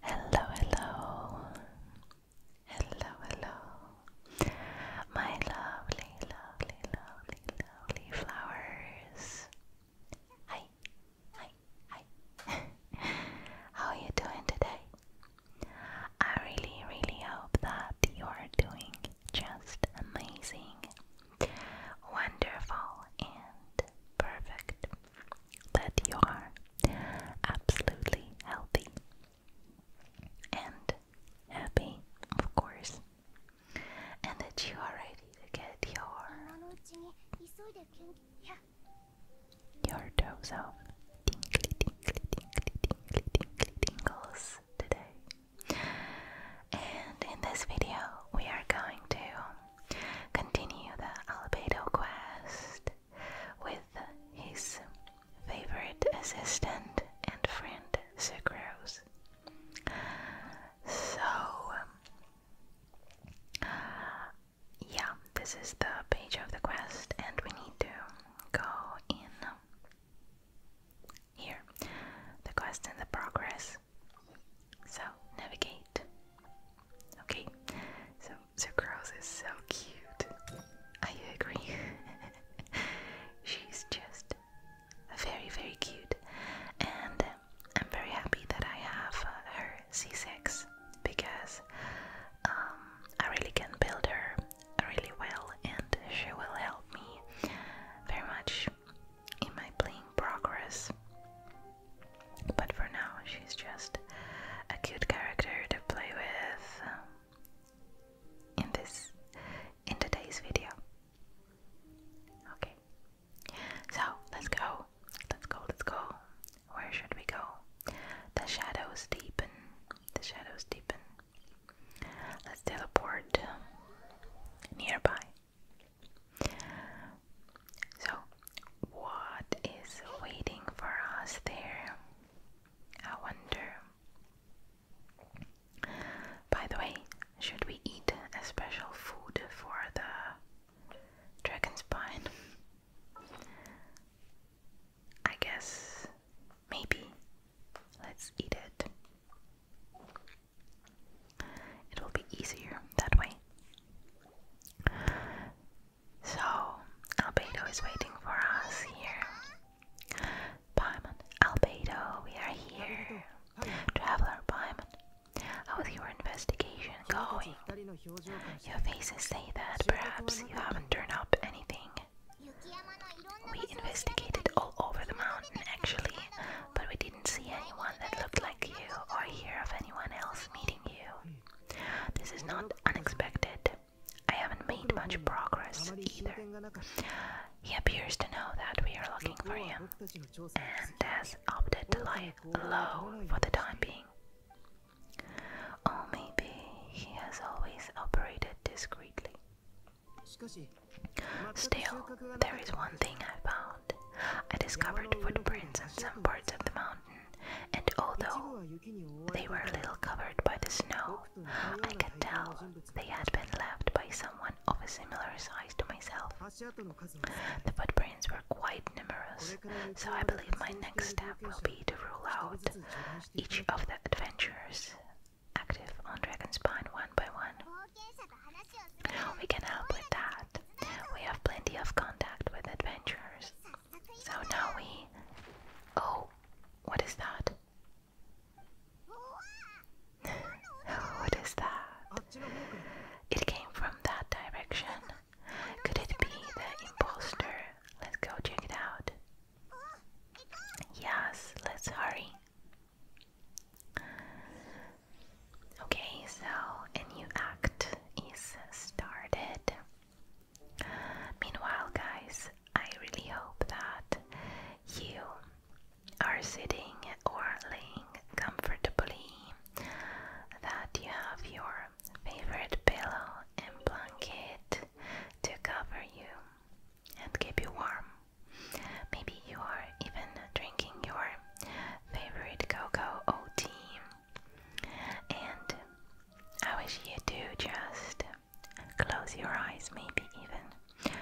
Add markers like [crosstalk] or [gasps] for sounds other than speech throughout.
Hello, hello, hello, hello, my lovely, lovely, lovely, lovely flowers. Hi, hi, hi. [laughs] How are you doing today? I really, really hope that you're doing just amazing wonderful and perfect, that you are absolutely healthy and happy, of course, and that you are ready to get your your dose of tingly, tingly, tingly, tingly, tingly, tingles today. And in this video, we are going to continue the Albedo quest with his favorite assistant and friend, Sucrose. So, yeah, this is the page of the quest, and we need to go in here. The quest and the progress so, navigate. Okay, so Sucrose is so cute. I agree. [laughs] She's just very, very cute. And I'm very happy that I have uh, her C6 because um, I really can build her really well and she will help me very much in my playing progress. But for now, she's just a cute character to play with um, in this in today's video. Okay, so let's go, let's go, let's go. Where should we go? The shadows deepen. The shadows deepen. Let's teleport nearby. So, what is waiting for us there? I wonder. By the way, should we eat a special food for the dragon spine? I guess maybe. Let's eat it. It will be easier that way. So, Albedo is waiting for us here. Paimon, Albedo, we are here. Traveler Paimon, how's your investigation going? Your faces say that perhaps you haven't turned up anything. We investigated all over the mountain actually, but we didn't see anyone that looked like you or hear of anyone else meeting you. This is not unexpected. I haven't made much progress either. He appears to know that we are looking for him and has opted to lie low for the time being. Or maybe he has always operated discreetly. Still, there is one thing I found. I discovered footprints in some parts of the mountain, and although they were a little covered by the snow, I could tell they had been left by someone of a similar size to myself. The footprints were quite numerous, so I believe my next step will be to rule out each of the adventurers active on Dragon's one by one. We can help with that. We have plenty of contact with adventurers. So now we. Oh, what is that? [laughs] what is that? It came from that direction. Could it be the impostor? Let's go check it out. Yes, let's hurry. Okay, so a new act is started. Meanwhile, guys, I really hope that you are sitting or laying comfortably, that you have your favorite pillow and blanket to cover you and keep you warm. Maybe you are even drinking your favorite Coco O team. And I wish you to just close your eyes, maybe even,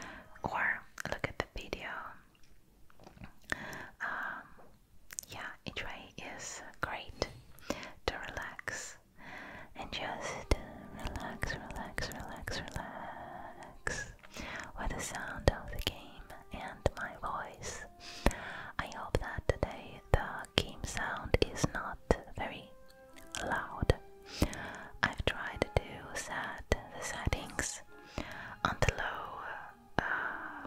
or look at the video. Um, yeah, each great to relax and just relax, relax, relax, relax with the sound of the game and my voice. I hope that today the game sound is not very loud. I've tried to set the settings on the low uh,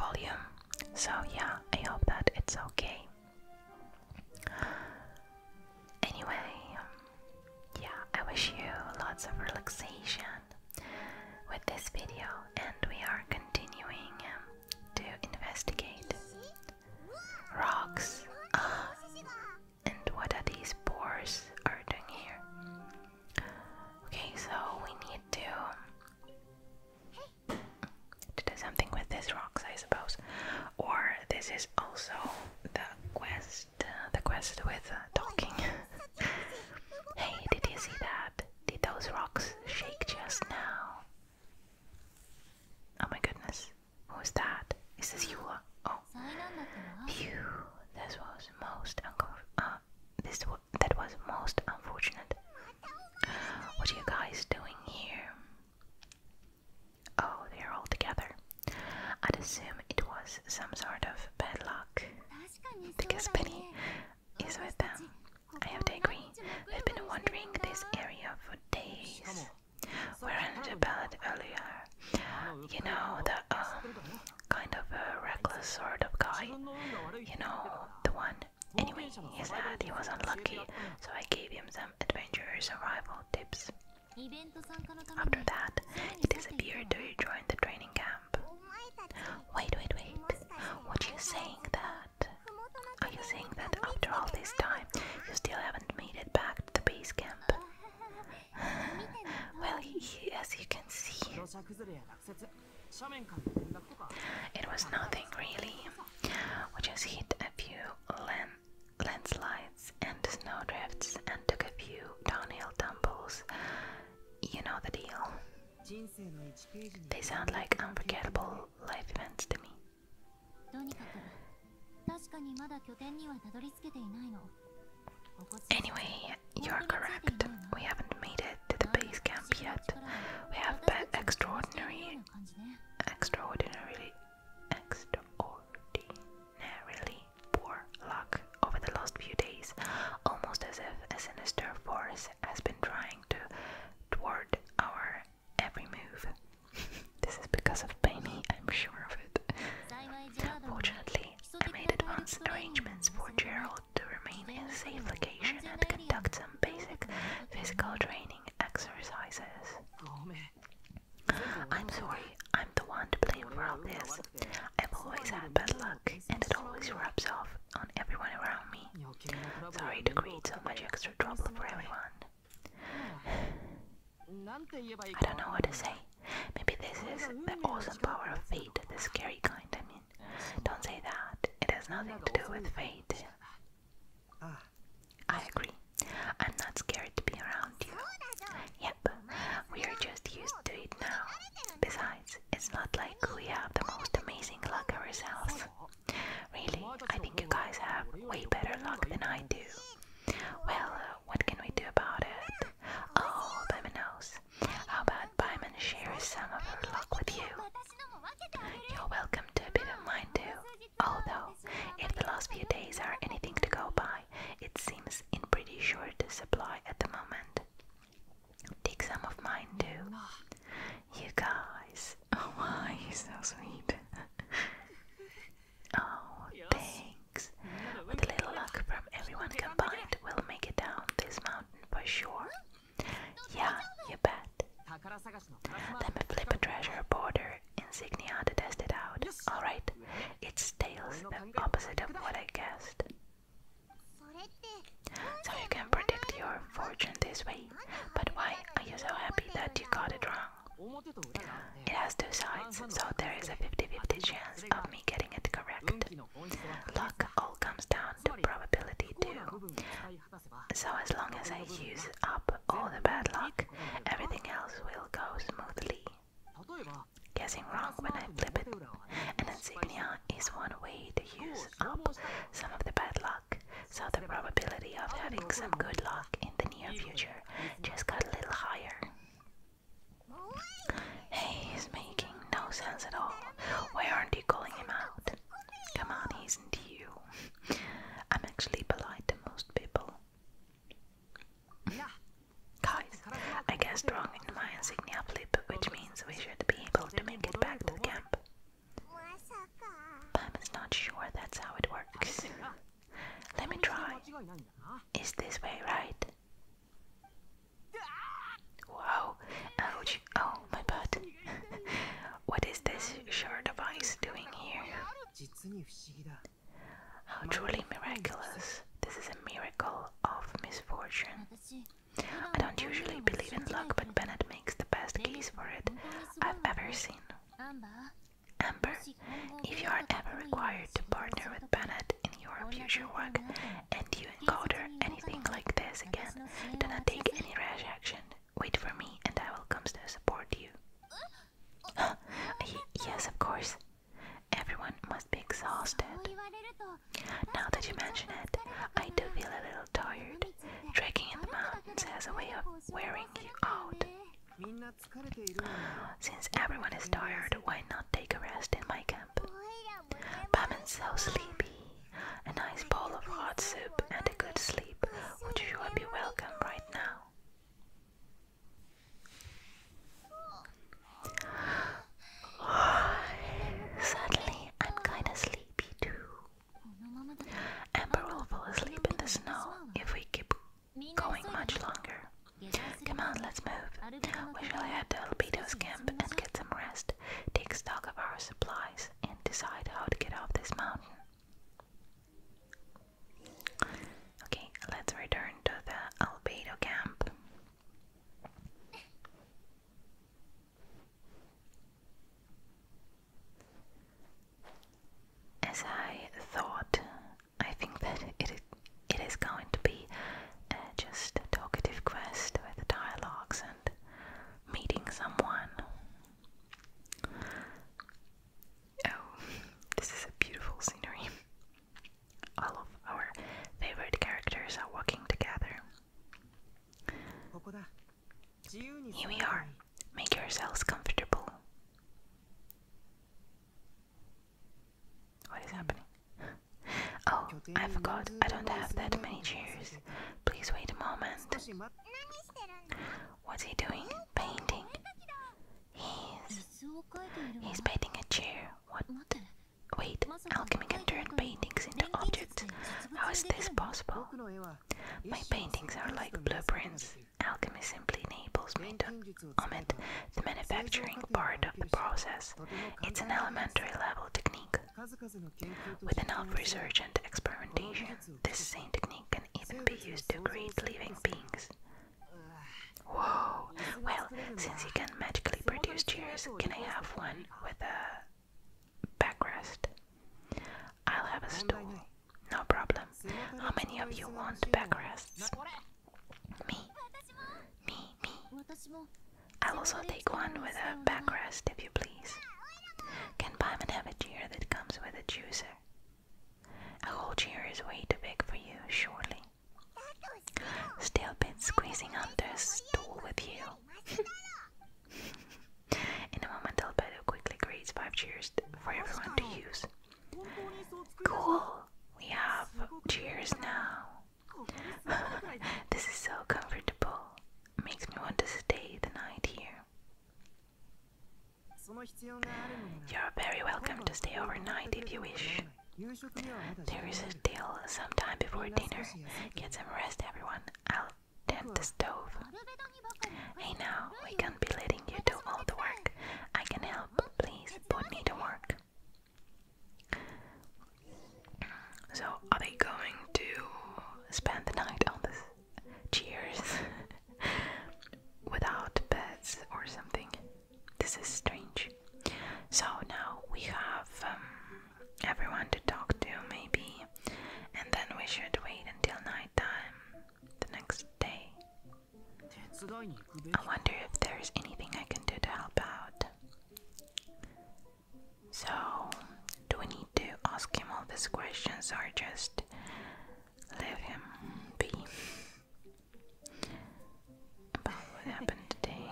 volume, so yeah, I hope that it's okay. Anyway, yeah, I wish you lots of relaxation with this video, and we are continuing um, to investigate rocks. Uh, and what are these boars are doing here? Okay, so we need to to do something with these rocks, I suppose. Or this is also the quest, uh, the quest with uh, talking. [laughs] hey, did you see that? Did those rocks shake just now? Oh my goodness, who's that? Is this Yula? Uh, oh, this was most uh, this that was most unfortunate. What are you guys doing here? Oh, they're all together. I'd assume it was some sort of bad luck. Because Penny is with them. I have to agree. We've been wandering this area for days. We're on the ballad earlier. You know, the um, kind of reckless sort of guy. You know, the one. Anyway, he said he was unlucky, so I gave him some adventurous survival tips. After that, he disappeared to join the training camp. Wait, wait, wait. What are you saying that? Are you saying that after all this time you still haven't made it back to the base camp? [sighs] well, as you can see, it was nothing really. We just hit a few land landslides and snowdrifts and took a few downhill tumbles you know the deal. They sound like unforgettable life events to me. Anyway, you're correct. We haven't made it to the base camp yet. We have but extraordinary, extraordinarily, extraordinarily poor luck over the last few days, almost as if a sinister force has been trying to thwart our every move. [laughs] this is because of Penny, I'm sure of it. Fortunately, I made advanced arrangements for Gerald to remain in a safe location and conduct some basic physical training exercises. Oh, I'm sorry I'm the one to blame for all this. I've always had bad luck, and it always rubs off on everyone around me. Sorry to create so much extra trouble for everyone. I don't know what to say. Maybe this is the awesome power of fate, the scary kind, I mean. Don't say that. It has nothing to do with fate. I agree. I'm not scared to be around you. Yeah, Yep, we are just used to it now. Besides, it's not like we have the most amazing luck ourselves. Really, I think you guys have way better luck than I do. Well, uh, what can we do about it? Oh, Paimon knows. How about Paimon shares some of her luck with you? You're welcome to a bit of mine too. Although, if the last few days are anything to go by, supply. It seems in pretty short supply at the moment. Take some of mine too. You guys. [laughs] Oh, why you're so sweet. [laughs] oh, thanks. With a little luck from everyone combined, we'll make it down this mountain for sure. Yeah, you bet. Let me flip a treasure border insignia to test it out. Alright, it's tails, the opposite of what I guessed. So you can predict your fortune this way. But why are you so happy that you got it wrong? It has two sides, so there is a 50-50 chance of me getting it correct. Luck all comes down to probability too. So as long as I use up all the bad luck, everything else will go smoothly. Guessing wrong when I flip it. An insignia is one way to use up some of the bad luck, so the probability of having some good luck in the near future just got a little higher. Hey, he's making no sense at all. Why aren't you calling him out? Come on, isn't you. I'm actually polite to most people. Guys, I guessed wrong in my insignia blip, which means we should be able to make it back to the camp. I'm not sure that's how it works. Let me try. Is this way right? Wow, ouch, oh my butt. [laughs] what is this shard device doing here? How truly miraculous. This is a miracle of misfortune. I don't usually believe in luck, but Bennett makes the best case for it I've ever seen. Amber, if you are ever required to partner with Bennett in your future work and you encounter anything like this again, do not take any rash action. Wait for me and I will come to support you. [gasps] yes, of course. Everyone must be exhausted. Now that you mention it, I do feel a little tired. Trekking in the mountains has a way of wearing you out. Since everyone is tired, why not take a rest in my camp? Batman's so sleepy. A nice bowl of hot soup and a good sleep would sure be welcome right now. Suddenly, I'm kinda sleepy too. Amber will fall asleep in the snow if we keep going much longer. Come on, let's move. We shall head to Albedo's camp and get some rest, take stock of our supplies, and decide how to get off this mountain. Okay, let's return to the Albedo camp. As I thought, I think that it, it is going to be uh, just a talkative quest with dialogues and meeting someone. Oh, [laughs] this is a beautiful scenery. All of our favorite characters are working together. Here we are. Make yourselves comfortable. What is happening? [gasps] Oh, I forgot. I don't have that many chairs. Please wait a moment. What's he doing? Painting. He's he's painting a chair. What Wait, alchemy can turn paintings into objects. How is this possible? My paintings are like blueprints. Alchemy simply enables me to omit the manufacturing part of the process. It's an elementary level technique. With enough research and experimentation, this same technique can even be used to create living beings. Whoa. Well, since you can magically produce chairs, can I have one with a backrest? I'll have a stool. No problem. How many of you want backrests? Me. Me, me. I'll also take one with a backrest if you please. Can Paimon have a chair that comes with a juicer? A whole chair is way too big for you, surely. Still been squeezing under stool with you. [laughs] In a moment, Albedo quickly creates five cheers for everyone to use. Cool! We have cheers now. [laughs] this is so comfortable. Makes me want to stay the night here. You're very welcome to stay overnight if you wish. There is a deal sometime before dinner. Get some rest, everyone. I'll tend the stove. Hey now, we can't be letting you do all the work. I can help, please, but need to work. So, are they going to spend the night on this? Cheers! [laughs] Without beds or something. This is strange. So now we have um, everyone to talk to, maybe, and then we should wait until nighttime the next day. I wonder if there's anything I can do to help out. So, do we need to ask him all these questions or just leave him be? about what happened today.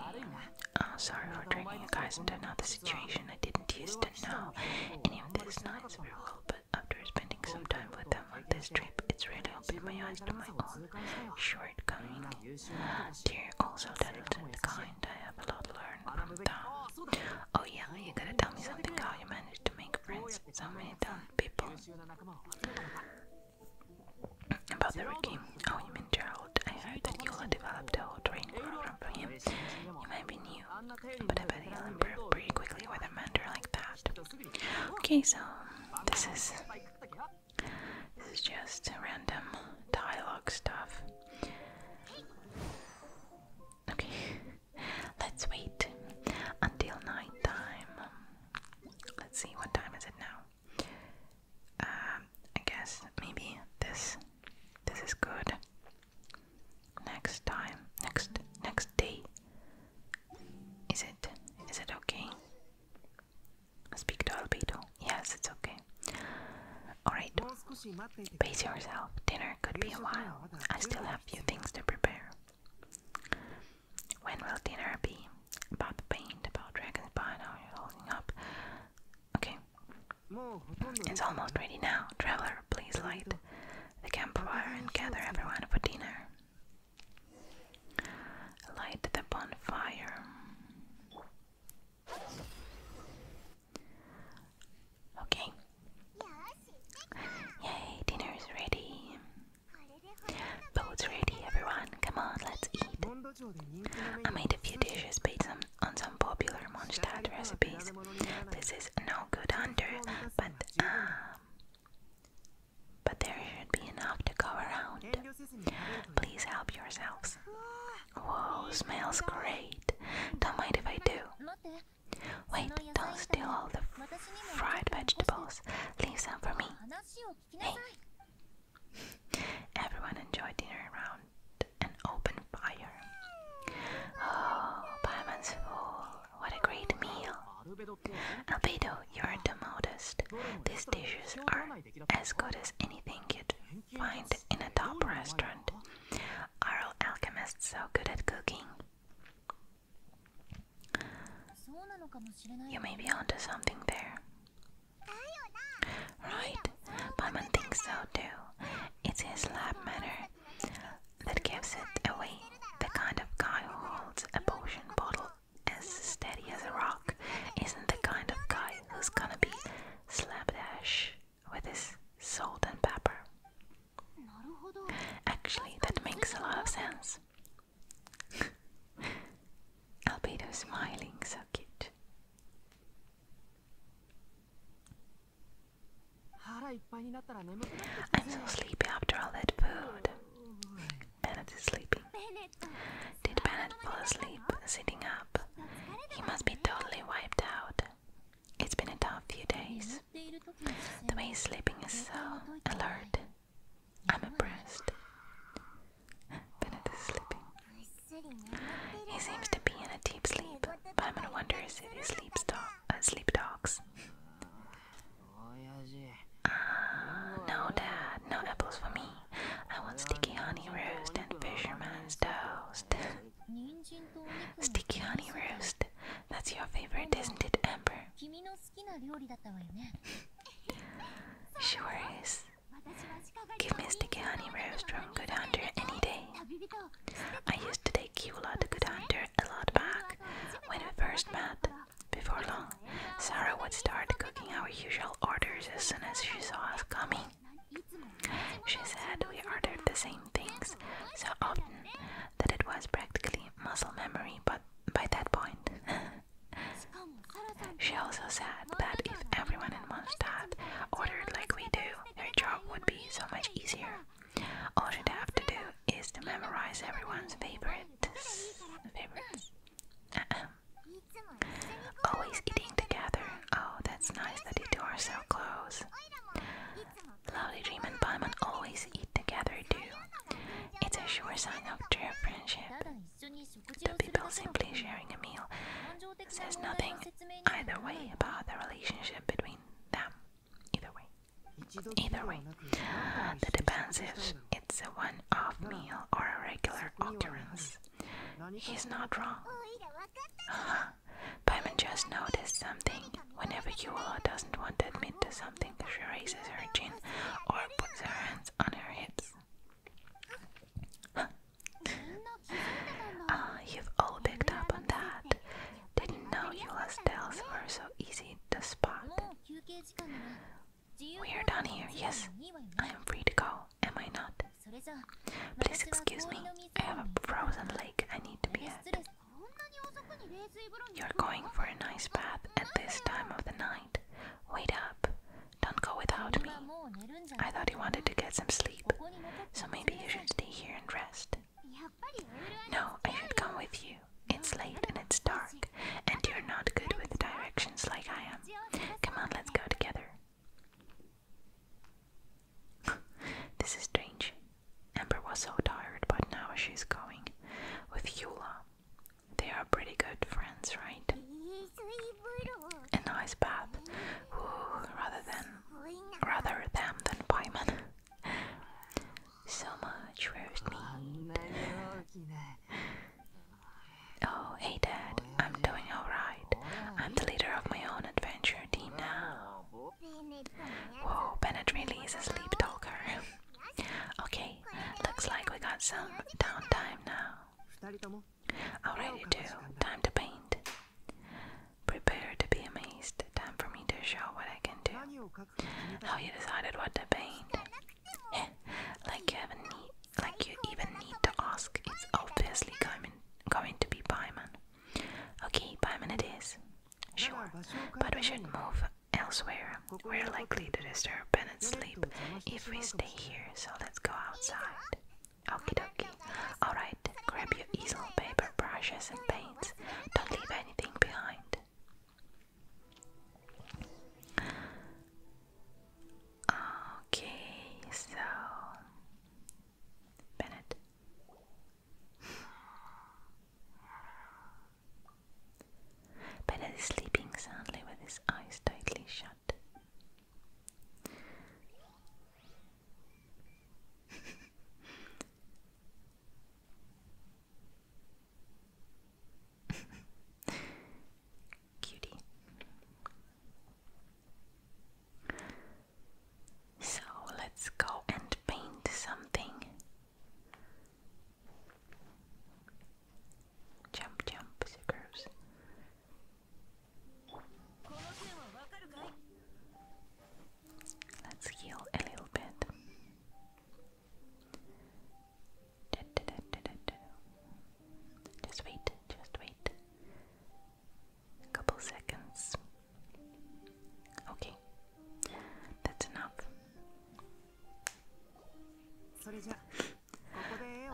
Oh, sorry for dragging you guys into another situation. I didn't used to know any of these nights very well, but after spending some time with them on this trip, it's really opened my eyes to my own shortcoming. They're also talented kind. I have a lot to from them. Oh yeah, you gotta tell me something how you managed to make friends with so many talented people. About the rookie. Oh, you mean Gerald. I heard that Yola developed a whole training program for him. He might be new, but I bet he'll improve pretty quickly with a mentor like that. Okay, so this is this is just random dialogue stuff. Okay, let's wait until night time. Let's see what time is it now. Um, I guess maybe this this is good. Next time, next next day. Is it is it okay? Speak to Albedo. Yes, it's okay. Alright. Pace yourself. Dinner could be a while. I still have few things to prepare. When will dinner be? About the paint, about dragon's bite, how you're holding up. Okay. It's almost ready now. Traveler, please light the campfire and gather everyone for dinner. Light the bonfire. Okay. Yay, dinner ready. Boat's ready, everyone. Come on, let's eat. I made a few dishes based on, some popular Mondstadt recipes. This is no good under, but um, but there should be enough to go around. Please help yourselves. Whoa, smells great. Don't mind if I do. Wait, don't steal all the fried vegetables. Leave some for me. Everyone enjoyed dinner around an open fire. Oh, Paimon's What a great meal. Albedo, you're the modest. These dishes are as good as anything you'd find in a top restaurant. Are all so good at cooking? You may be onto something there. Right? Paimon thinks so too. It's his lab manner that gives it away. The kind of guy who holds a potion bottle as steady as a rock isn't the kind of guy who's gonna be slapdash with his salt and pepper. Actually, that makes a lot of sense. [laughs] Albedo's smiling, so cute. I'm so sleepy after all that food. Bennett is sleeping. Did Bennett fall asleep sitting up? He must be totally wiped out. It's been a tough few days. The way he's sleeping is so alert. I'm impressed. Bennett is sleeping. He seems to be in a deep sleep, but I'm gonna wonder if he sleeps do uh, sleep dogs. Uh, no, Dad, no apples for me. I want sticky honey roast and fisherman's toast. [laughs] sticky honey roast. That's your favorite, isn't it, Amber? [laughs] sure is. Give me sticky honey roast from Good Hunter any day. I used to take Kiwla to Good Hunter a lot back when we first met. Before long, Sarah would start cooking our usual orders as soon as she saw us coming. She said we ordered the same things so often that it was practically muscle memory but by that point. [laughs] She also said that if everyone in Mondstadt ordered like we do, their job would be so much easier. All she would have to do is to memorize everyone's favorites. favorites. Uh-uh. Always eating together. Oh, that's nice that you are so close. Lovely Dream and Paimon always eat together too. It's a sure sign of true friendship. People simply sharing a meal says nothing either way about the relationship between them. Either way. Either way, ah, that depends if it's a one off meal or a regular occurrence. He's not wrong. Uh, Paimon just noticed something. Whenever Yuola doesn't want to admit to something, she raises her chin or puts her hands on her hips. Ah, you've all picked up on that. Didn't know Eula's spells were so easy to spot. We are done here, yes. I am free to go, am I not? Please excuse me, I have a frozen lake I need to be at. You're going for a nice bath at this time of the night. Wait up. Don't go without me. I thought you wanted to get some sleep, so maybe you should stay here and rest. No, I should come with you. It's late and it's dark, and you're not good with directions like I am. Come on, let's go together. [laughs] this is strange. Amber was so tired, but now she's going with Eula. They are pretty good friends, right? a nice bath rather than rather them than payment. so much roast meat. Oh, hey Dad, I'm doing alright. I'm the leader of my own adventure team now. Whoa, Bennett really is a sleep talker. okay, looks like we got some downtime now. Alrighty oh, time to paint. Prepare to be amazed. Time for me to show what I can do. How you decided what to paint. [laughs] like you even need to ask. It's obviously going to be Paimon. Okay, Paimon it is. Sure. But we should move elsewhere. We're likely to disturb Bennett's sleep if we stay here, so let's go outside. Okay, okay. Alright, grab your easel, paper, brushes, and paints. Don't leave anything behind. Okay, so. Bennett. Bennett is sleeping soundly with his eyes tightly shut. Cutie. So let's go and paint something. Jump, jump, stickers. Let's heal a little bit. Just wait, just wait. A couple seconds. Okay, that's enough.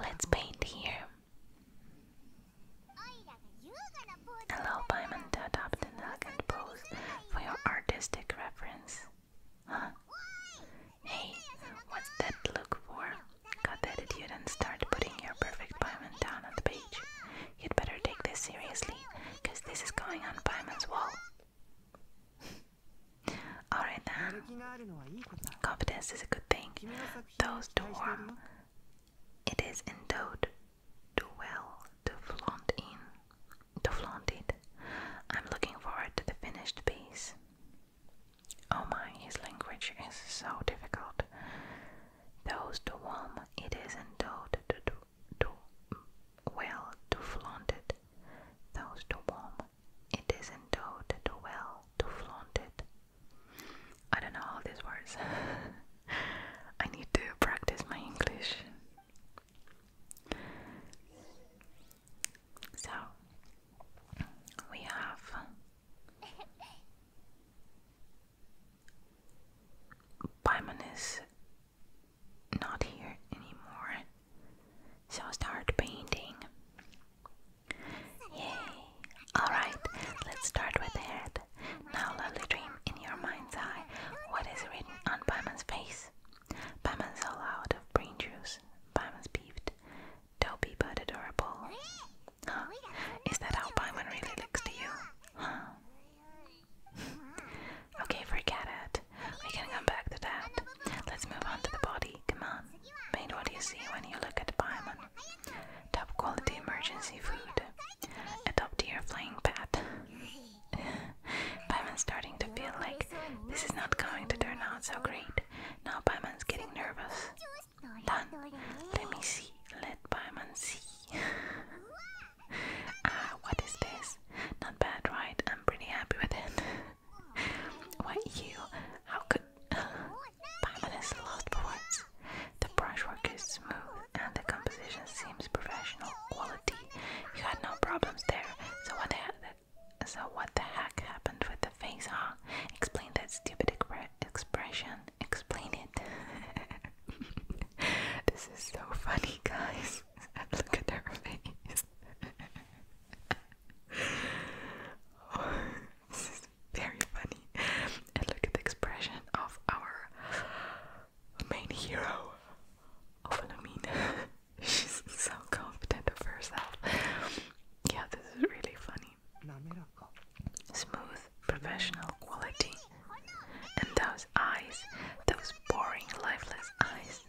Let's paint here. Allow Paimon adopt an elegant pose for your artistic reference. Huh? Hey, what's that look for? Got the attitude and start putting your perfect Paimon down on the page. You'd better take this seriously, cause this is going on Paimon's wall. [laughs] Alright then. Confidence is a good thing, those to warm, it is endowed too well to flaunt in, to flaunt it. I'm looking forward to the finished piece. Oh my, his language is so difficult. Those to warm, it is endowed to do, well to flaunt it. Those to warm, it is endowed to well to flaunt it. I don't know all these words. I need to practice my English. So we have Paimon is not here anymore, so i start painting. Yay! Alright, let's start with the head. Now, lovely dream in your mind's eye. What is written on Pyman's face? Pyman's all out of brain juice. Pyman's peeved. Dopey but adorable. Huh? Is that how Pyman really looks to you? Huh? okay, forget it. We can come back to that. Let's move on to the body. Come on made what you see when you look at Paimon. Top quality emergency food. A top tier flying pet. [laughs] Paimon's starting to feel like this is not going to turn out so great. Now Paimon's getting nervous. Done. Let me see. Let Paimon see. [laughs] ah, what is this? Not bad, right? I'm pretty happy with it. [laughs] what you? How could? Timeless lost poets. The brushwork is smooth and the composition seems professional quality. You had no problems there, so what the, so what the heck happened with the face, huh? Explain that stupid expression. Explain it. [laughs] this is so funny, guys. [laughs] Look at her face. [laughs] very funny. And look at the expression of our main hero of [laughs] She's so confident of herself. Yeah, this is really funny. Smooth, professional quality. And those eyes, those boring, lifeless eyes.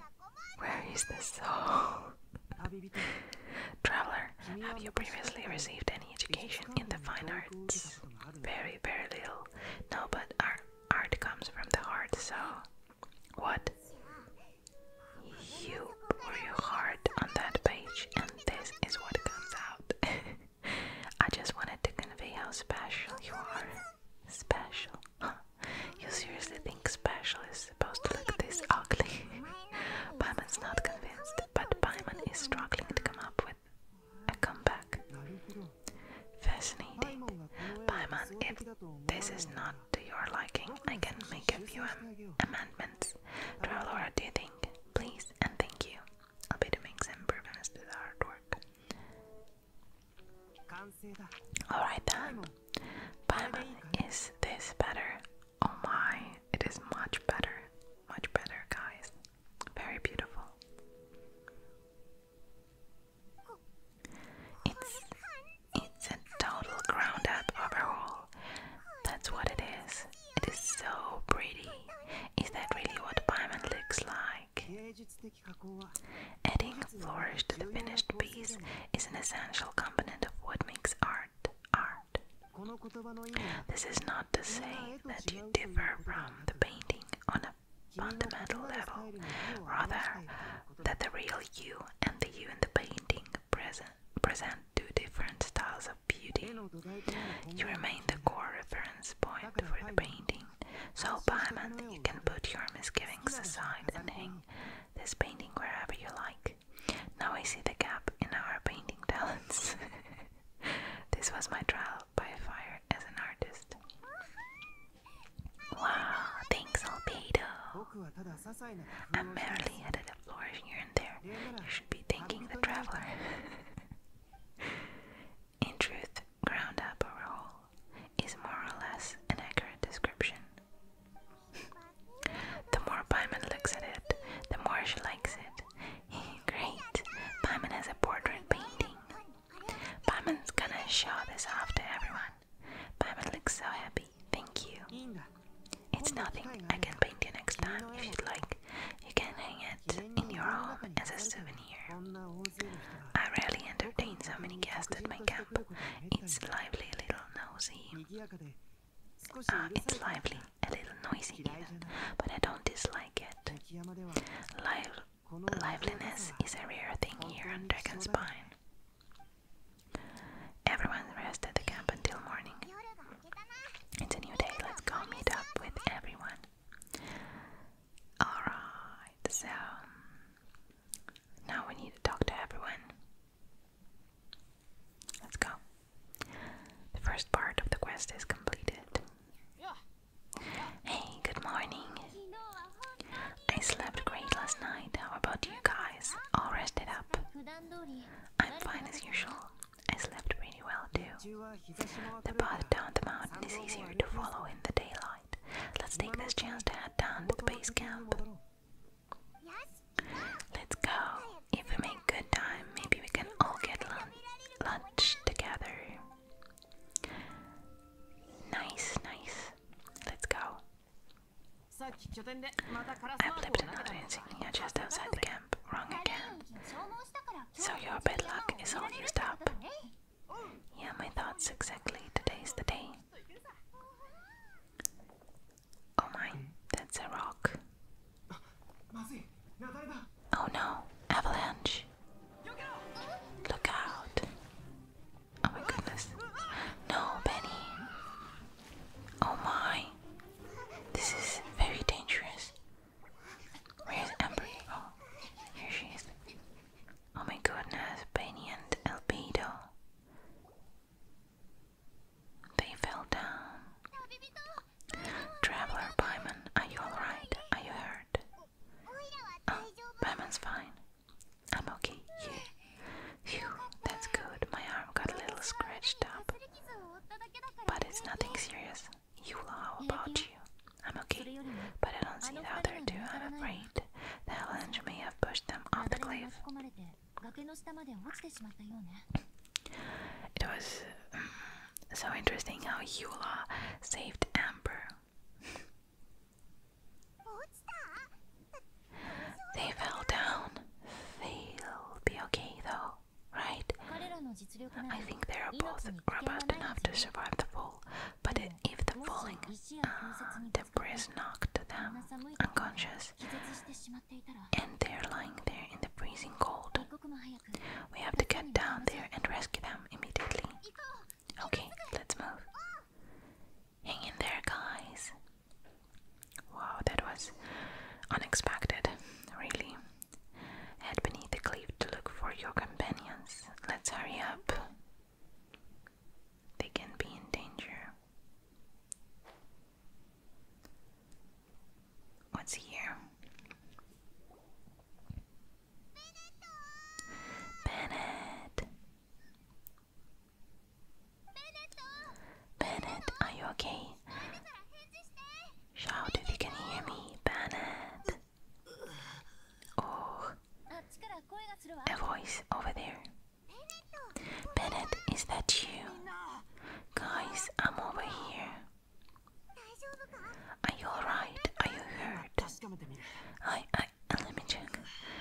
Where is the soul? [laughs] Traveler have you previously received any education in the fine arts? Very, very little. No, but art comes from the heart, so. What? You pour your heart on that page, and this is what comes out. [laughs] I just wanted to convey how special you are. Special? Huh? You seriously think special is supposed to look this ugly? [laughs] Paimon's not convinced, but Paimon is struggling to come up with a comeback. Fascinating. Paimon, if this is not to your liking, I can make a few amendments. Traveler, do you think? Please and thank you. I'll be to make some improvements to the artwork. Alright then. Paimon, is this better? Oh my, it is much better. Much better, guys. Very beautiful. It's it's a total ground up overhaul. That's what it is. It is so pretty. Is that really what pavement looks like? Adding flourish to the finished piece is an essential component of what makes art art. This is not to say that you differ from the painting on a fundamental level, rather, that the real you and the you in the painting present, present two different styles of beauty. You remain the core reference point for the painting, so, Byman, you can put your misgivings aside and hang this painting wherever you like. Now I see the gap in our painting [laughs] talents. this was my trial by fire as an artist. Wow, thanks, Albedo! i merely added a flourish here and there. You should be thanking the traveler. [laughs] in truth, ground up or is more or less an accurate description. [laughs] the more Paimon looks at it, the more she likes it. Great. Paimon has a portrait painting. Paimon's gonna show this off to everyone. Paimon looks so happy. Thank you. It's nothing. I can paint you next time if you'd like. You can hang it in your home as a souvenir. I rarely entertain so many guests at my camp. It's lively little nosy. Ah, it's lively, a little noisy even, but I don't dislike it. liveliness is a rare thing here on Dragon's Pine. Everyone rests at the camp until morning. It's a new day, let's go meet up with everyone. Alright, so now we need to talk to everyone. Let's go. The first part of the quest is completed. Hey, good morning. I slept great last night. How about you guys? All rested up. I'm fine as usual. I slept pretty well too. The path down the mountain is easier to follow in the daylight. Let's take this chance to head down to the base camp. Let's go. If we make good time, maybe we can all get lunch together. Nice, nice. Let's go. I flipped another insignia just outside the camp. Wrong again. So your bad luck is all used up. Yeah, my thoughts exactly. Today's the day. Oh my, that's a rock. Oh no, avalanche. Look out. Oh my goodness. No, Benny. Oh my. This is very dangerous. Where's Amber? Oh, here she is. Oh my goodness, Benny and Albedo. They fell down. Traveler Paimon, are you alright? Are you hurt? Oh, Paimon's fine. I'm okay. You? Phew, that's good. My arm got a little scratched up. But it's nothing serious. Yula, how about you? I'm okay, but I don't see the other two, I'm afraid. The avalanche may have pushed them off it was mm, so interesting how Eula saved Amber. they fell down. They'll be okay though, right? I think they are both robust enough to survive the fall, but if the falling the uh, breeze knocked them unconscious and they're lying there in the freezing cold, we have to get down there and rescue them immediately. Okay, let's move. Hang in there, guys. Wow, that was unexpected, really. Head beneath the cliff to look for your companions. Let's hurry up. They can be in danger. What's here? Bennett. Bennett, are you okay? Shout if you can hear me, Bennett. Oh, a voice over there. Bennett, is that you? Guys, I'm over here. Are you alright? Are you hurt? I, I, let me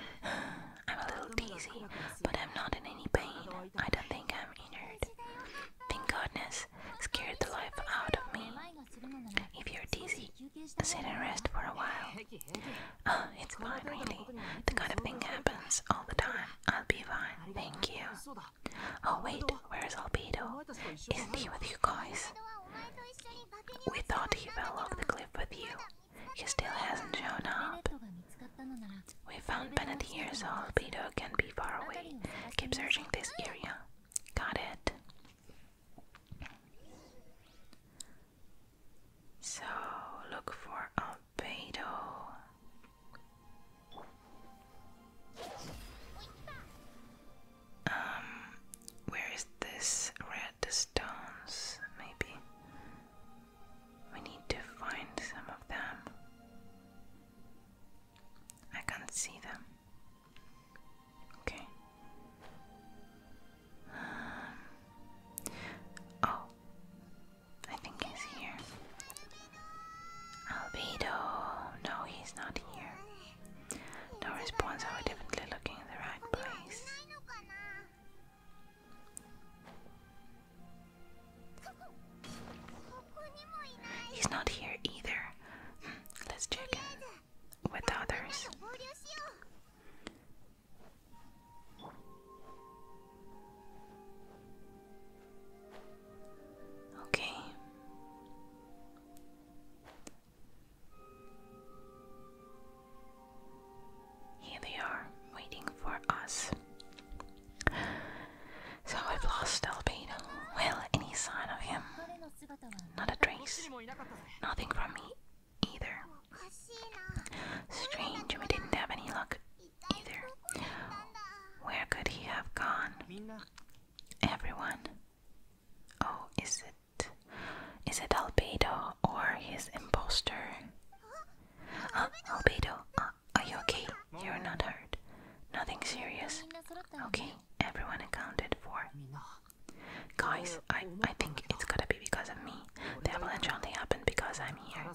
[sighs] I'm a little dizzy, but I'm not in any pain. I don't think I'm injured. Thank goodness, scared the life out of me. If you're dizzy, sit and rest for a while. Oh, it's fine, really. The kind of thing happens all the time. I'll be fine, thank you. Oh wait, where's Albedo? Isn't he with you guys? We thought he fell off the cliff with you. He still hasn't shown up. We found Bennett here, so Albedo can be far away. Keep searching this area. Got it. So look for Albedo. Um, where is this red stones? Maybe we need to find some of them. I can't see them. Okay. Um, oh, I think he's here. Albedo, no, he's not here. No response, are we definitely looking in the right place? He's not here either. Hmm, let's check in with others. Okay. Here they are, waiting for us. So I've lost Albedo. Well, any sign of him? Not a trace. Nothing from me either. Strange, we didn't have any luck either. Where could he have gone? everyone. Oh, is it is it Albedo or his impostor? Uh, Albedo, uh, are you okay? You're not hurt. Nothing serious. Okay, everyone accounted for. Guys, I, I think it's gotta be because of me. The avalanche only happened because I'm here.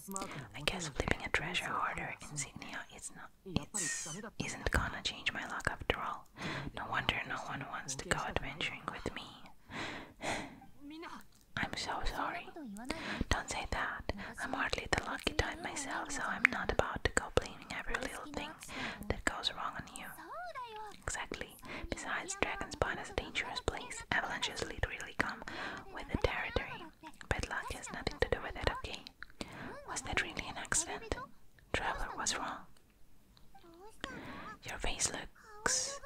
I guess flipping a treasure hoarder in Sydney is not it's, isn't gonna change my luck after all. No wonder no one wants to go adventuring with me. I'm so sorry. Don't say that. I'm hardly the lucky type myself, so I'm not about to go blaming every little thing that goes wrong on you. Exactly. Besides, Dragon is a dangerous place. Avalanches literally come with the territory. but luck has nothing to do with it, okay? Was that really an accident? Traveler was wrong. Your face looks.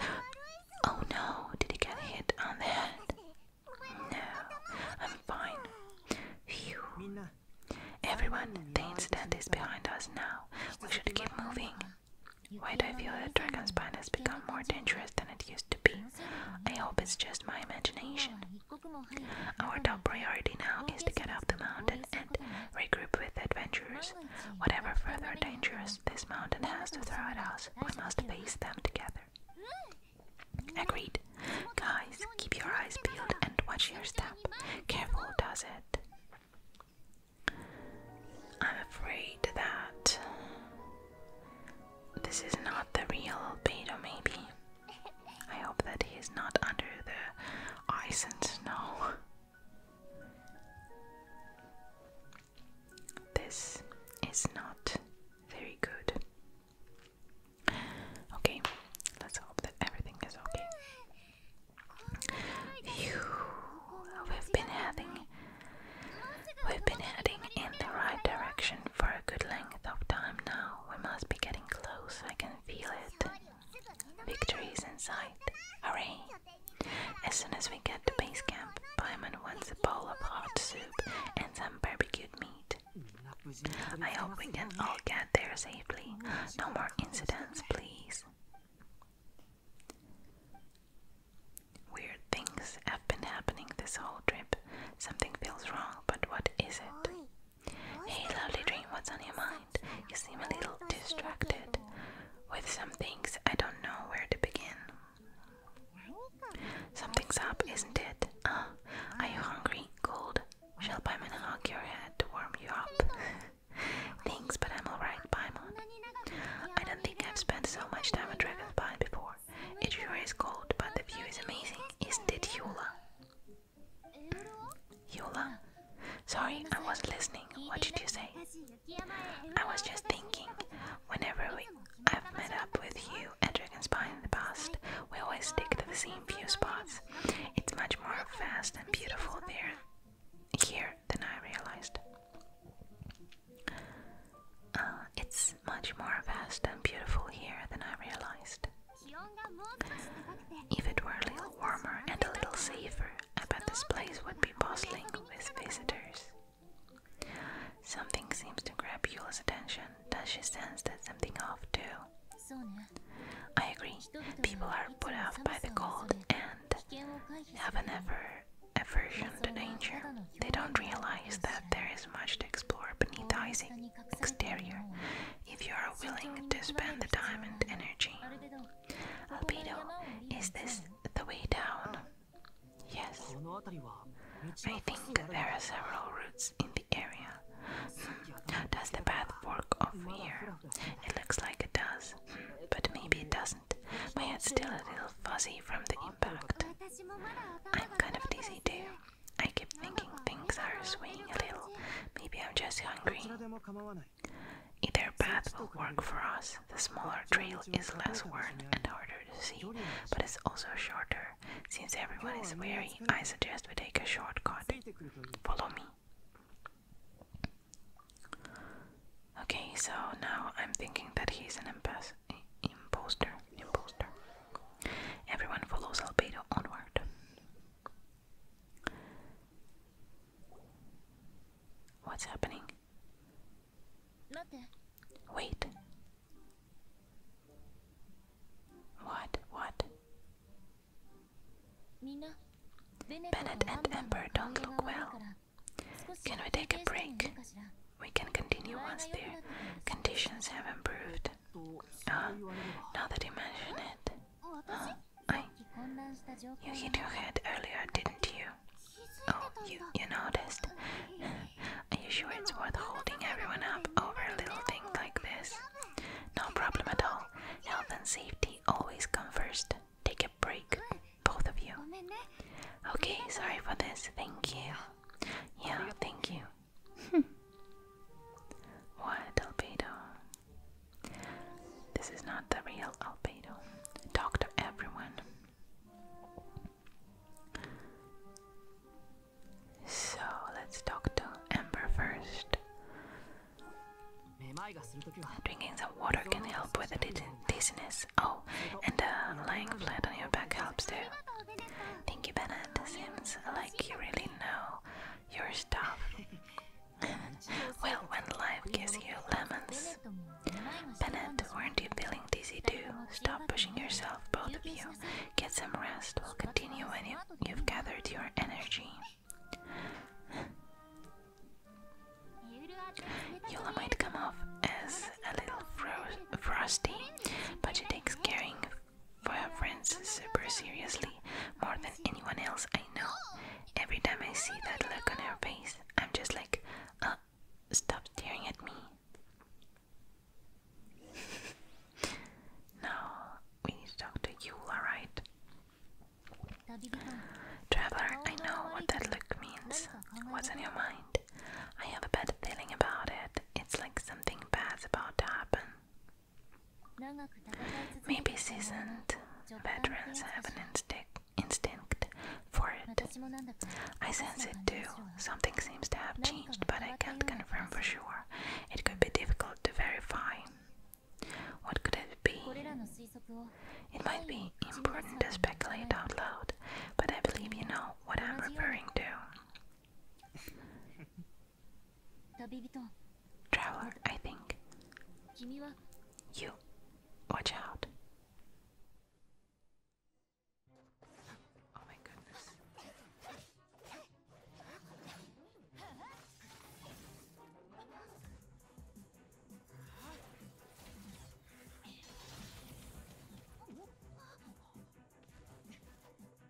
Oh no, did he get hit on the head? No, I'm fine. Phew. Everyone, the incident is behind us now. We should keep moving. Why do I feel that dragon spine has become more dangerous than it used to be? I hope it's just my imagination. Our top priority now is to get up the mountain and regroup with adventurers. Whatever further dangers this mountain has to throw at us, we must face them together. Agreed. Guys, keep your eyes peeled and watch your step. Careful does it. I'm afraid that this is not the real Albedo, maybe. I hope that he is not under the ice and snow. This is not very good. Okay, let's hope that everything is okay. we've been heading, we've been heading in the right direction for a good length of time now we must be getting close, I can feel it. Victory is in sight. Hooray! As soon as we get to base camp, Paimon wants a bowl of hot soup and some barbecued meat. I hope we can all get there safely. No more incidents, please. Weird things have been happening this whole trip. Something feels wrong, but what is it? Hey, lovely dream, what's on your mind? You seem a little distracted with some things. I don't know where to begin. Something's up, isn't it? Ah, are you hungry? Cold? Shall Paimon hug your head to warm you up? Thanks, but I'm alright, Paimon. I don't think I've spent so much time at Dragon's Pine before. It sure is cold, but the view is amazing, isn't it, Yula? Yula? Sorry, I was not listening. What did you say? I was just thinking, whenever we, I've met up with you at Dragonspire in the past, we always stick to the same few spots. It's much more vast and beautiful there here than I realized. Uh, it's much more vast and beautiful here than I realized. If it were a little warmer and a little safer, I this place would be bustling with visitors. Something seems to grab Yula's attention. Does she sense that something off too? I agree. People are put off by the cold and have an ever aversion to danger. They don't realize that there is much to explore beneath the ice exterior if you are willing to spend the time and energy. Albedo, is this the way down? Yes. I think there are several routes in the area. Hmm. Does the path work off here? It looks like it does, hmm, but maybe it doesn't. My head's still a little fuzzy from the impact. I'm kind of dizzy too. I keep thinking things are swaying a little. Maybe I'm just hungry. Either path will work for us. The smaller trail is less worn and harder to see, but it's also shorter. Since everyone is weary, I suggest we take a shortcut. Follow me. Okay, so now I'm thinking that he's an imposter. Imposter. Everyone follows Albedo onward. What's happening? Wait. What? What? Bennett and Amber don't look well. Can we take a break? We can continue once their conditions have improved. Uh, now that you mention it, uh, you hit your head earlier, didn't you? Oh, you, you noticed? Are you sure it's worth holding everyone up over a little thing like this? No problem at all. Health and safety always come first. Take a break, both of you. Okay, sorry for this. Thank you. Yeah, thank you. Hmm. what albedo? This is not the real albedo. Talk everyone. So let's talk to Amber first. Drinking some water can help with the dizziness. Oh, and lying flat on your back helps too. Thank you, Bennett. Seems like you really know know your stuff. well, when life gives you lemons. Bennett, weren't you feeling dizzy too? Stop pushing yourself, both of you. Get some rest. We'll continue when you, have gathered your energy. Yola might come off as a little frosty, but she takes caring, for her friends super seriously, more than anyone else I know. Every time I see that look on her face, I'm just like, uh, stop staring at me. now we need to talk to you, alright? Traveler, I know what that look means. What's on your mind? I have a bad feeling about it. It's like something bad's about to happen. Maybe seasoned veterans have an instinct for it. I sense it too. Something seems to have changed, but I can't confirm for sure. It could be difficult to verify. What could it be? It might be important to speculate out loud, but I believe you know what I'm referring to. [laughs] Traveler, I think. You, watch out. Oh my goodness.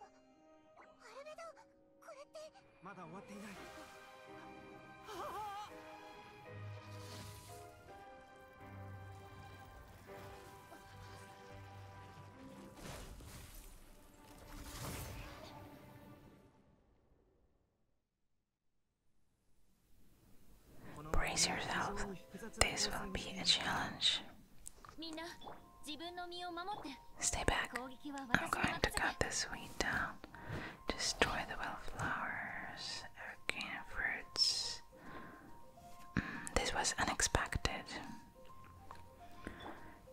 あれだこれってまだ終わっていないは Brace yourself. This will be a challenge. Stay back. I'm going to cut this weed down. Destroy the wildflowers, arcane fruits. Mm, this was unexpected.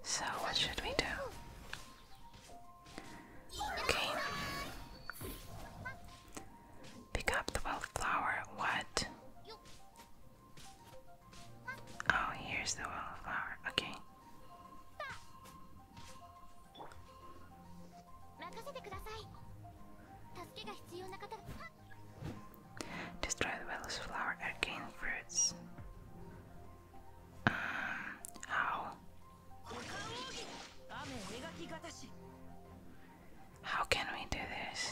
So, what should we do? Okay. Pick up the wildflower. What? Oh, here's the wallflower. Okay. Destroy the flower and fruits. Um, how? How can we do this?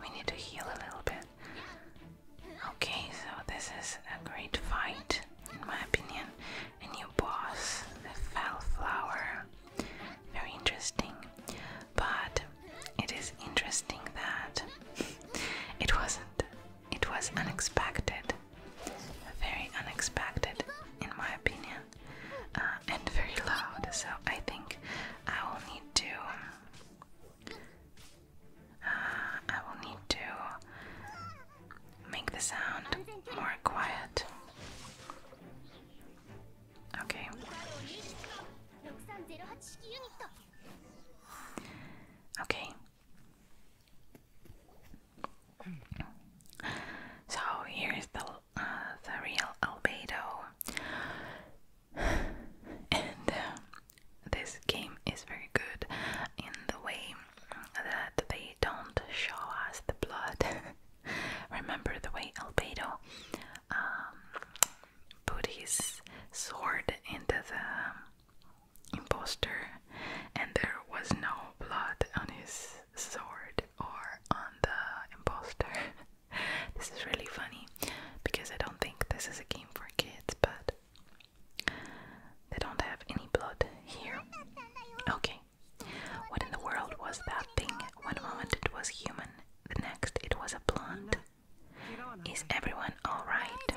We need to heal a little bit. Okay, so this is a great fight, in my opinion. A new boss, the Fell Flower. Very interesting. But it is interesting that it wasn't it was unexpected very unexpected in my opinion and very loud so I think I will need to I will need to make the sound more quiet okay Okay. So here is the uh, the real albedo, and uh, this game is very good in the way that they don't show us the blood. [laughs] Remember the way albedo um, put his sword into the um, impostor, and there was no blood on his sword or on the impostor. [laughs] this is really funny because I don't think this is a game for kids, but they don't have any blood here. Okay. What in the world was that thing? One moment it was human, the next it was a plant. Is everyone alright?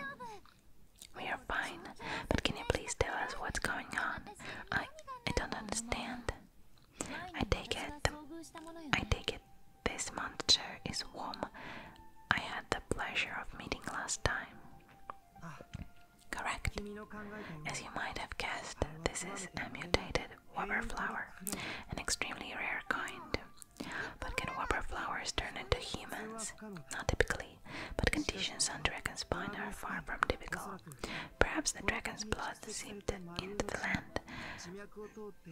We are fine, but can you please tell us what's going on? I I don't understand. I take it I take it this monster is warm. I had the pleasure of meeting last time. Correct. As you might have guessed, this is a mutated warbler flower, an extremely rare kind. But can water flowers turn into humans? Not typically, but conditions on dragon's spine are far from typical. Perhaps the dragon's blood seeped into the land,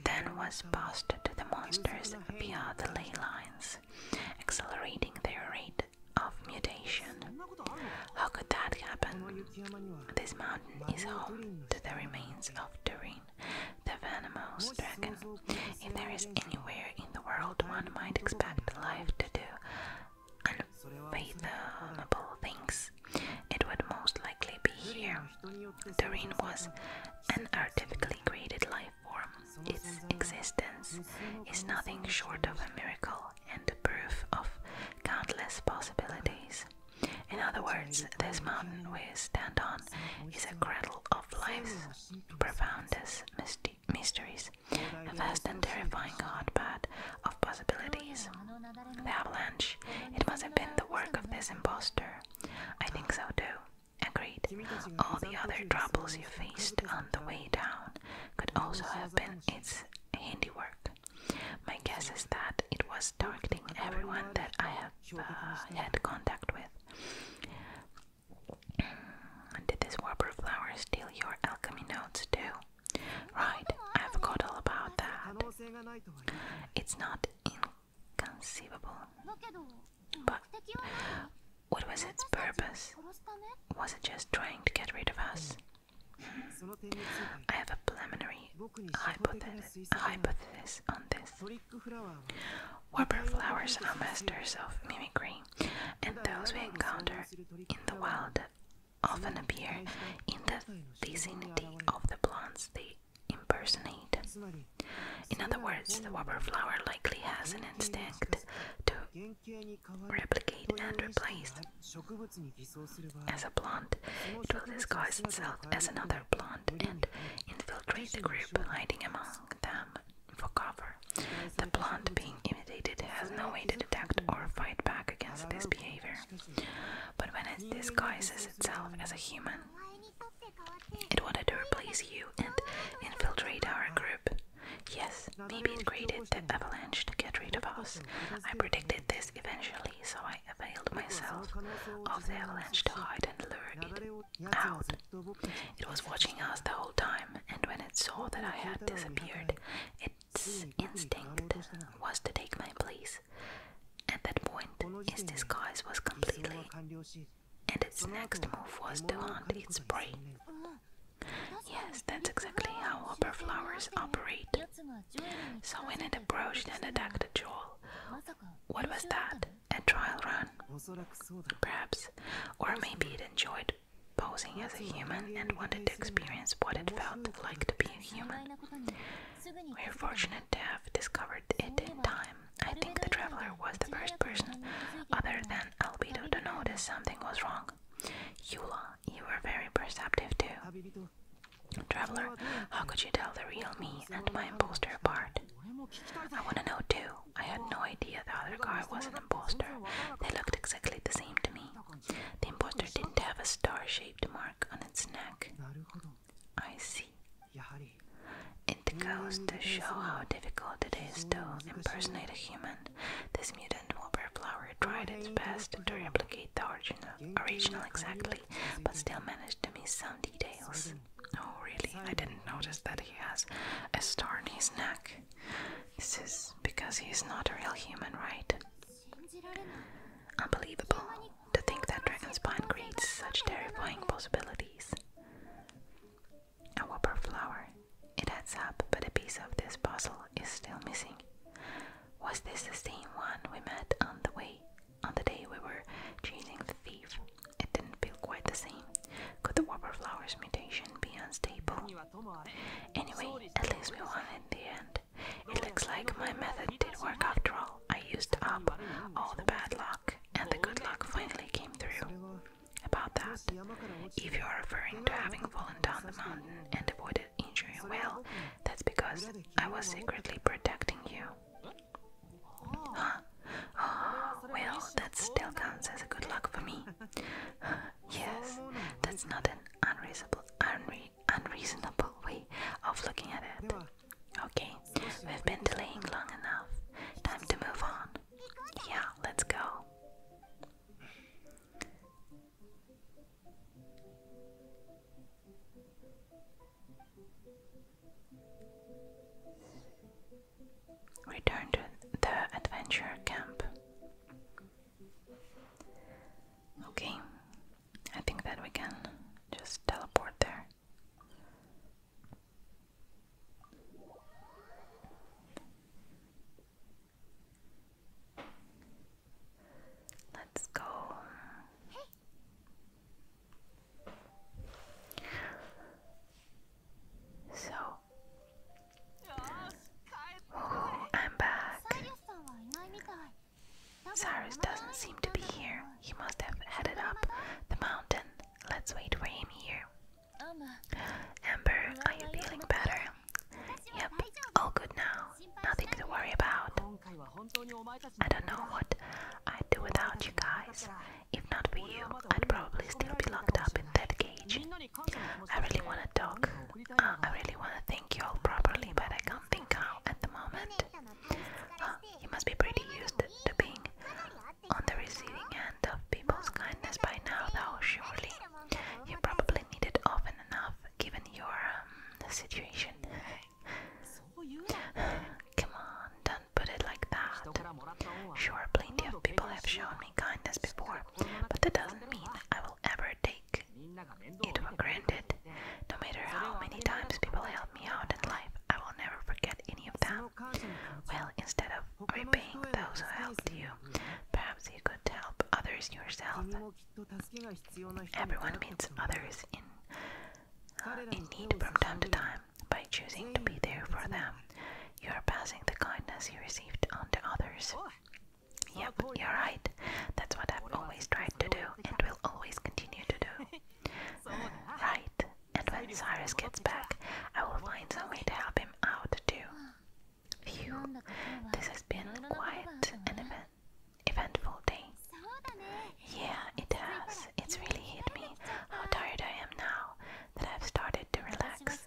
then was passed to the monsters via the ley lines, accelerating their rate of mutation. How could that happen? This mountain is home to the remains of Turin, the venomous dragon. If there is anywhere in the world one might expect life to do unfathomable things, it would most likely be here. Doreen was an artificially created life form. Its existence is nothing short of a miracle and the proof of countless possibilities. In other words, this mountain we stand on is a cradle of life's profoundest mysteries, a vast and terrifying hotbed of possibilities. The avalanche, it must have been the work of this impostor. I think so too. Agreed. All the other troubles you faced on the way down could also have been its handiwork. My guess is that it was targeting everyone that I have had ah, contact with. Mm, did this warbler flower steal your alchemy notes too? Right, I forgot all about that. It's not inconceivable. But what was its purpose? Was it just trying to get rid of us? Hmm, I have a preliminary hypothesis hypothesis on this. Warbler flowers are masters of mimicry, and those we encounter in the wild often appear in the vicinity of the plants they impersonate. In other words, the warbler flower likely has an instinct to replicate and replace. As a plant, it will disguise itself as another plant and infiltrate the group hiding among them for cover. The plant being imitated has no way to detect or fight back against this behavior. But when it disguises itself as a human, it wanted to replace you and infiltrate our group. Yes, maybe it created the avalanche to get rid of us. I predicted this eventually, so I availed myself of the avalanche to hide and learn out. It was watching us the whole time, and when it saw that I had disappeared, its instinct was to take my place. At that point, its disguise was completely, and its next move was to hunt its prey. Yes, that's exactly how opera flowers operate. So when it approached and attacked the jewel, what was that? a trial run, perhaps, or maybe it enjoyed posing as a human and wanted to experience what it felt like to be a human. We are fortunate to have discovered it in time. I think the traveler was the first person, other than Albedo, to notice something was wrong. Yula, you were very perceptive too. Traveler, how could you tell the real me and my imposter apart? I want to know too. I had no idea the other guy was an imposter. They looked exactly the same to me. The imposter didn't have a star shaped mark on its neck. I see. It goes to show how difficult it is to impersonate a human. This mutant wallpaper tried its best to replicate the original exactly, but still managed to miss some details. Oh, really? I didn't notice that he has a star in his neck. This is because he is not a real human, right? Unbelievable to think that Dragonspine creates such terrifying possibilities. A whopper flower. It adds up, but a piece of this puzzle is still missing. Was this the same one we met on the way on the day we were chasing the thief? It didn't feel quite the same. Could the water Flowers mutation be unstable? Anyway, at least we won in the end. It looks like my method did work after all. I used up all the bad luck, and the good luck finally came through. About that, if you are referring to having fallen down the mountain and avoided injury, well, that's because I was secretly protecting you. Huh? [gasps] well, that still counts as a good luck for me. [sighs] yes, that's not an unreasonable, unre unreasonable way of looking at it. Okay, we've been delaying long enough. Time to move on. Yeah, let's go. Return to the adventure camp. Okay, I think that we can just teleport there. Let's go. So, oh, I'm back. Cyrus doesn't seem to be here. He must have headed up the mountain. Let's wait for him here. Amber, are you feeling better? Yep, all good now. Nothing to worry about. I don't know what I'd do without you guys. If not for you, I'd probably still be locked up in that cage. I really wanna talk. Ah, I really wanna thank you all properly, but I can't think how at the moment. you must be pretty used to being on the receiving end of people's kindness by now, though, surely. You probably need it often enough, given your um, situation. [sighs] Come on, put it like that. Sure, plenty of people have shown me kindness before, but that doesn't mean I will ever take it for granted. No matter how many times people help me out in life, I will never forget any of them. Well, instead of repaying those who helped you, perhaps you could help others yourself. Everyone meets others in, uh, in need from time to time. By choosing to be there for them, you are passing the kindness you received on to others. Yep, you're right. That's what I've always tried to do and will always continue to do. Right, and when Cyrus gets back, I will find some way to help him out too. Phew, this has been quite an event eventful day. Yeah, it has. It's really hit me how tired I am now that I've started to relax.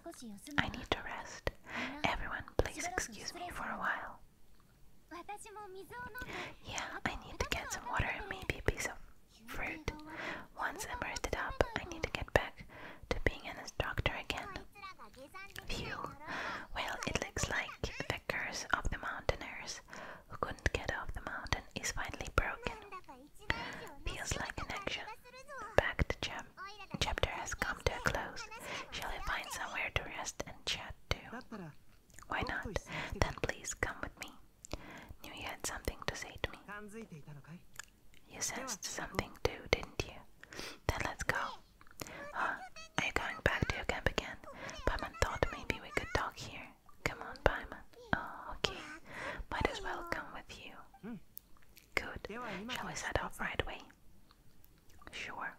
I need to rest. Everyone, please excuse me for a while. Yeah, I need to get some water and maybe a piece of fruit. Once I'm rested up, I need to get back to being an instructor again. Phew. Well, it looks like the curse of the mountaineers who couldn't get off the mountain is finally broken. Feels like an action packed chap chapter has come to a close. Shall I find somewhere to rest and chat too? Why not? Then please come with me. Knew you had something to say to me. You sensed something too, didn't you? Then let's go. Huh? Are you going back to your camp again? Paman thought maybe we could talk here. Come on, Paimon. Oh, okay. Might as well come with you. Good. Shall we set off right away? Sure.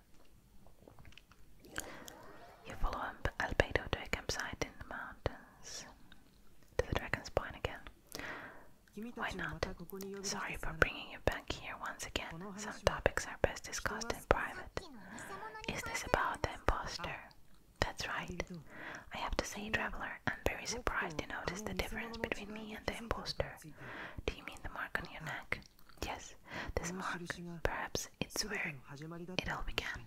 You follow Albedo to a campsite in the mountains. To the dragon's point again. Why not? Sorry for bringing you back here once again. Some topics are best discussed in private. Is this about the impostor? That's right. I have to say, traveler, I'm very surprised to notice the difference between me and the impostor. Do you mean the mark on your neck? Yes, this mark. Perhaps it's where it all began.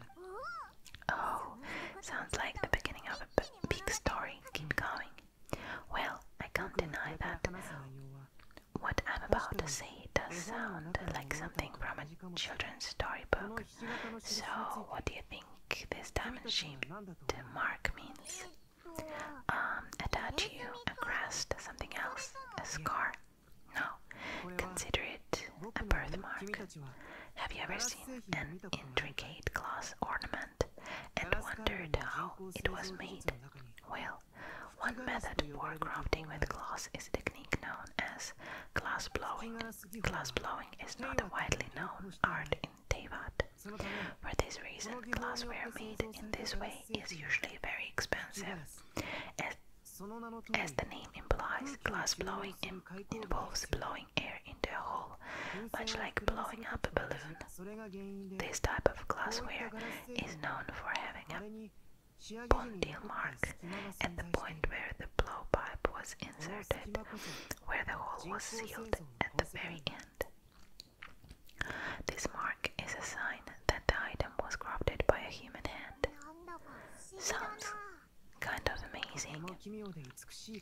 Oh, sounds like the beginning of a big story. Keep going. Well, I can't deny that what I'm about to say does sound like something from a children's storybook. So, what do you think this diamond shaped mark means? Um, a tattoo, a crest, something else, a scar? No, consider it a birthmark. Have you ever seen an intricate glass ornament and wondered how it was made? Well, one method for crafting with glass is a technique known as glass blowing. Glass blowing is not a widely known art in Tibet. For this reason, glassware made in this way is usually very expensive. As, the name implies, glass blowing involves blowing air into a hole, much like blowing up a balloon. This type of glassware is known for having a Bondil mark at the point where the blowpipe was inserted, where the hole was sealed at the very end. This mark is a sign that the item was crafted by a human hand. Sounds kind of amazing.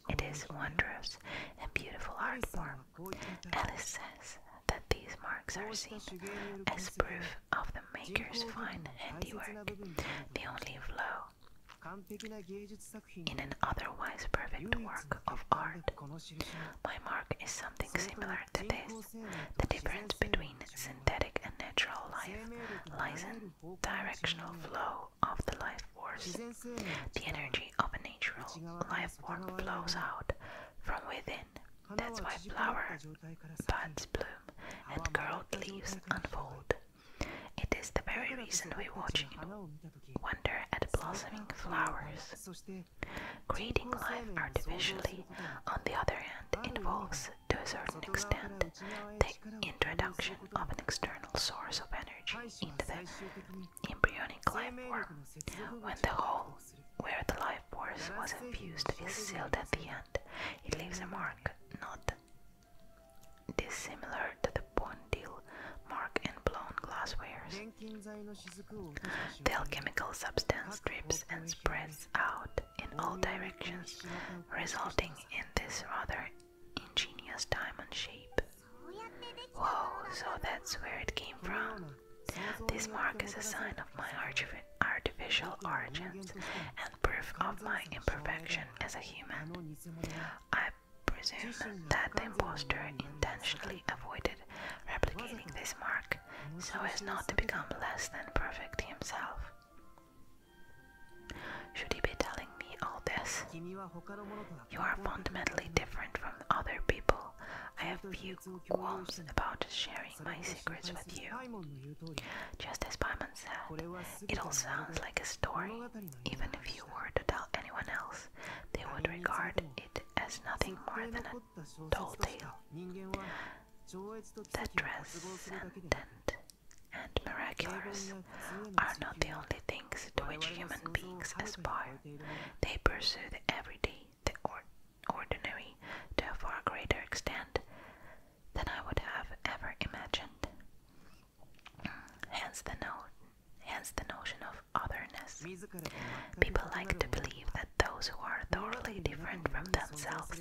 It is wondrous and beautiful art form. Alice says that these marks are seen as proof of the maker's fine handiwork. The only flaw in an otherwise perfect work of art. My mark is something similar to this. The difference between synthetic and natural life lies in directional flow of the life force. The energy of a natural life form flows out from within. That's why flowers, buds bloom and curled leaves unfold. It is the very reason we watch it, wonder at blossoming flowers. Creating life artificially, on the other hand, involves, to a certain extent, the introduction of an external source of energy into the embryonic life form, when the whole where the life force was infused is sealed at the end. It leaves a mark, not it is similar to the Bondil mark and blown glasswares. The alchemical substance drips and spreads out in all directions, resulting in this rather ingenious diamond shape. Whoa, so that's where it came from. This mark is a sign of my artificial origins and proof of my imperfection as a human. I presume that the impostor intentionally avoided replicating this mark so as not to become less than perfect himself. Should he be telling me all this? You are fundamentally different from other people. I have few qualms about sharing my secrets with you. Just as Paimon it all sounds like a story. Even if you were to tell anyone else, they would regard it as nothing more than a tall tale. The transcendent and miraculous are not the only things to which human beings aspire. They pursue the everyday, the ordinary, to a far greater extent than I would have ever imagined. Hence the, no hence the notion of otherness. People like to believe that those who are thoroughly different from themselves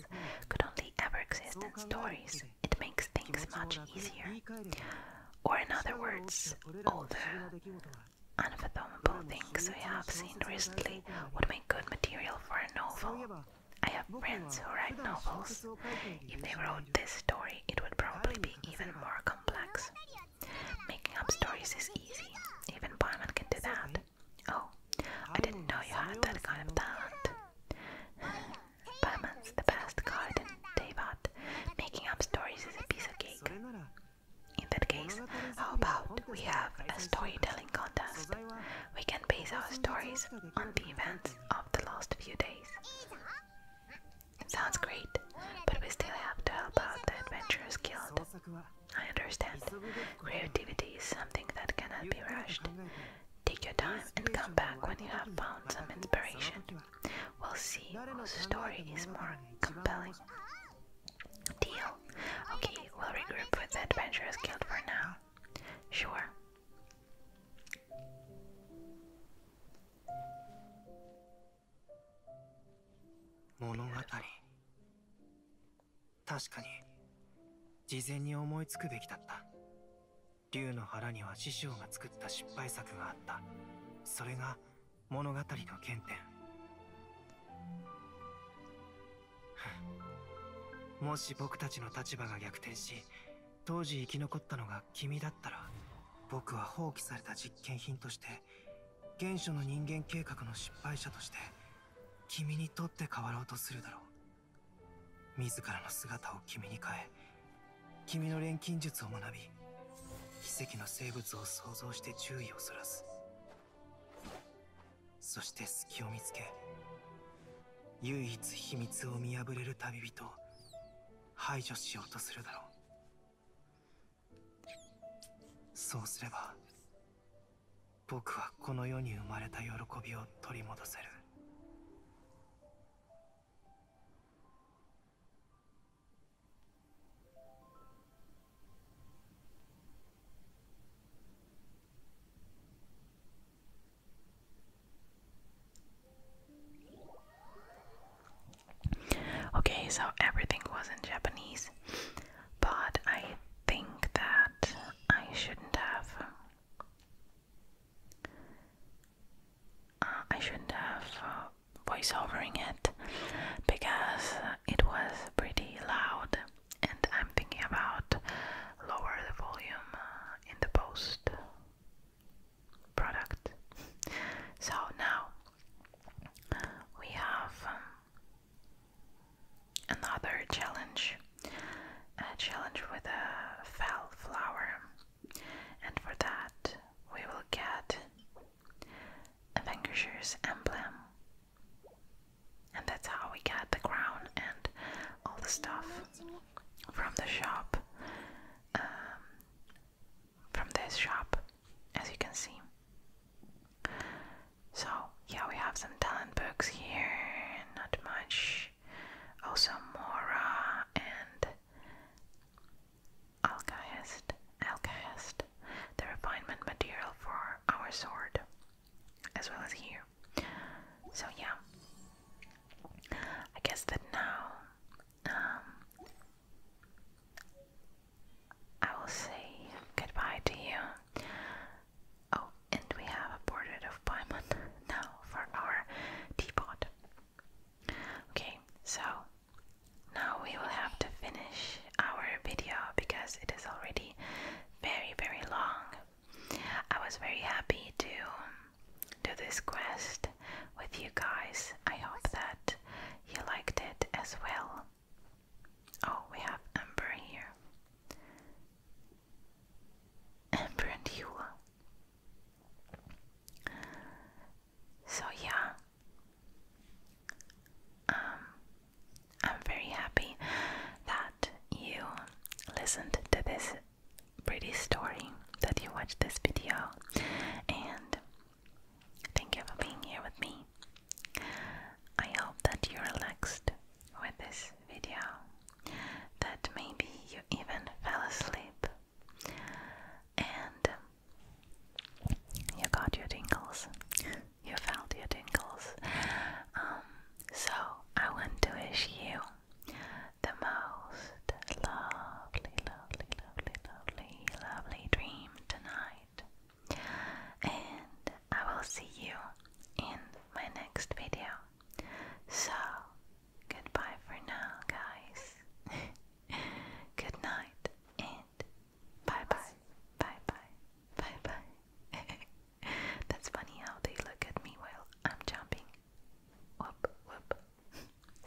could only ever exist in stories. It makes things much easier. Or, in other words, all the unfathomable things we have seen recently would make good material for a novel. I have friends who write novels. If they wrote this story, it would probably be even more complex. Making up stories is easy, even Paimon can do that. Oh, I didn't know you had that kind of talent. Paimon's [sighs] the best card in Teyvat. Making up stories is a piece of cake. In that case, how about we have a storytelling contest? We can base our stories on the events of the last few days. Sounds great, but we still have to help out the Adventurers Guild. I understand. Creativity is something that cannot be rushed. Take your time and come back when you have found some inspiration. We'll see whose story is more compelling. Deal. Okay, we'll regroup with the Adventurers Guild for now. Sure, 物語確かに事前に思いつくべきだった竜の腹には師匠が作った失敗作があったそれが物語の原点もし僕たちの立場が逆転し当時生き残ったのが君だったら僕は放棄された実験品として原初の人間計画の失敗者として君にとって変わろうとするだろう自らの姿を君に変え君の錬金術を学び奇跡の生物を想像して注意をそらすそして隙を見つけ唯一秘密を見破れる旅人排除しようとするだろうそうすれば僕はこの世に生まれた喜びを取り戻せる Okay, so everything was in Japanese, but I think that I shouldn't have. Uh, I shouldn't have uh, voiceovering it because it was pretty loud, and I'm thinking about lower the volume uh, in the post product. So now we have um, another challenge, a challenge with a fell flower, and for that we will get Avenger's emblem, and that's how we get the crown and all the stuff from the shop. Um, from this shop, as you can see. So, yeah, we have some talent books here, not much. Also, Mora and Alkahest, Alkahest, the refinement material for our sword, as well as here. So, yeah, I guess that now um, I will say goodbye to you. Oh, and we have a portrait of Paimon now for our teapot. Okay, so now we will have to finish our video because it is already very, very long. I was very happy to to this quest with you guys. I hope that you liked it as well. Oh, we have Ember here. Ember and Eula. So yeah, um, I'm very happy that you listened to this pretty story that you watched this video and thank you for being here with me. I hope that you relaxed with this video, that maybe you even fell asleep and you got your tingles, you felt your tingles. Um, so I want to wish you the most lovely, lovely, lovely, lovely, lovely dream tonight. And I will see you in my next video. So, goodbye for now, guys. [laughs] Good night, and bye bye, bye bye, bye bye. [laughs] That's funny how they look at me while I'm jumping.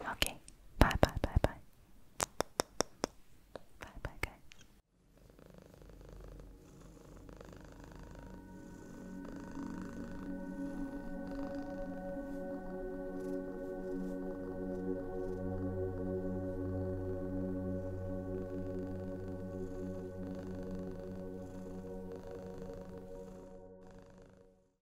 Okay. Bye, bye, bye, bye. Bye, bye, guys.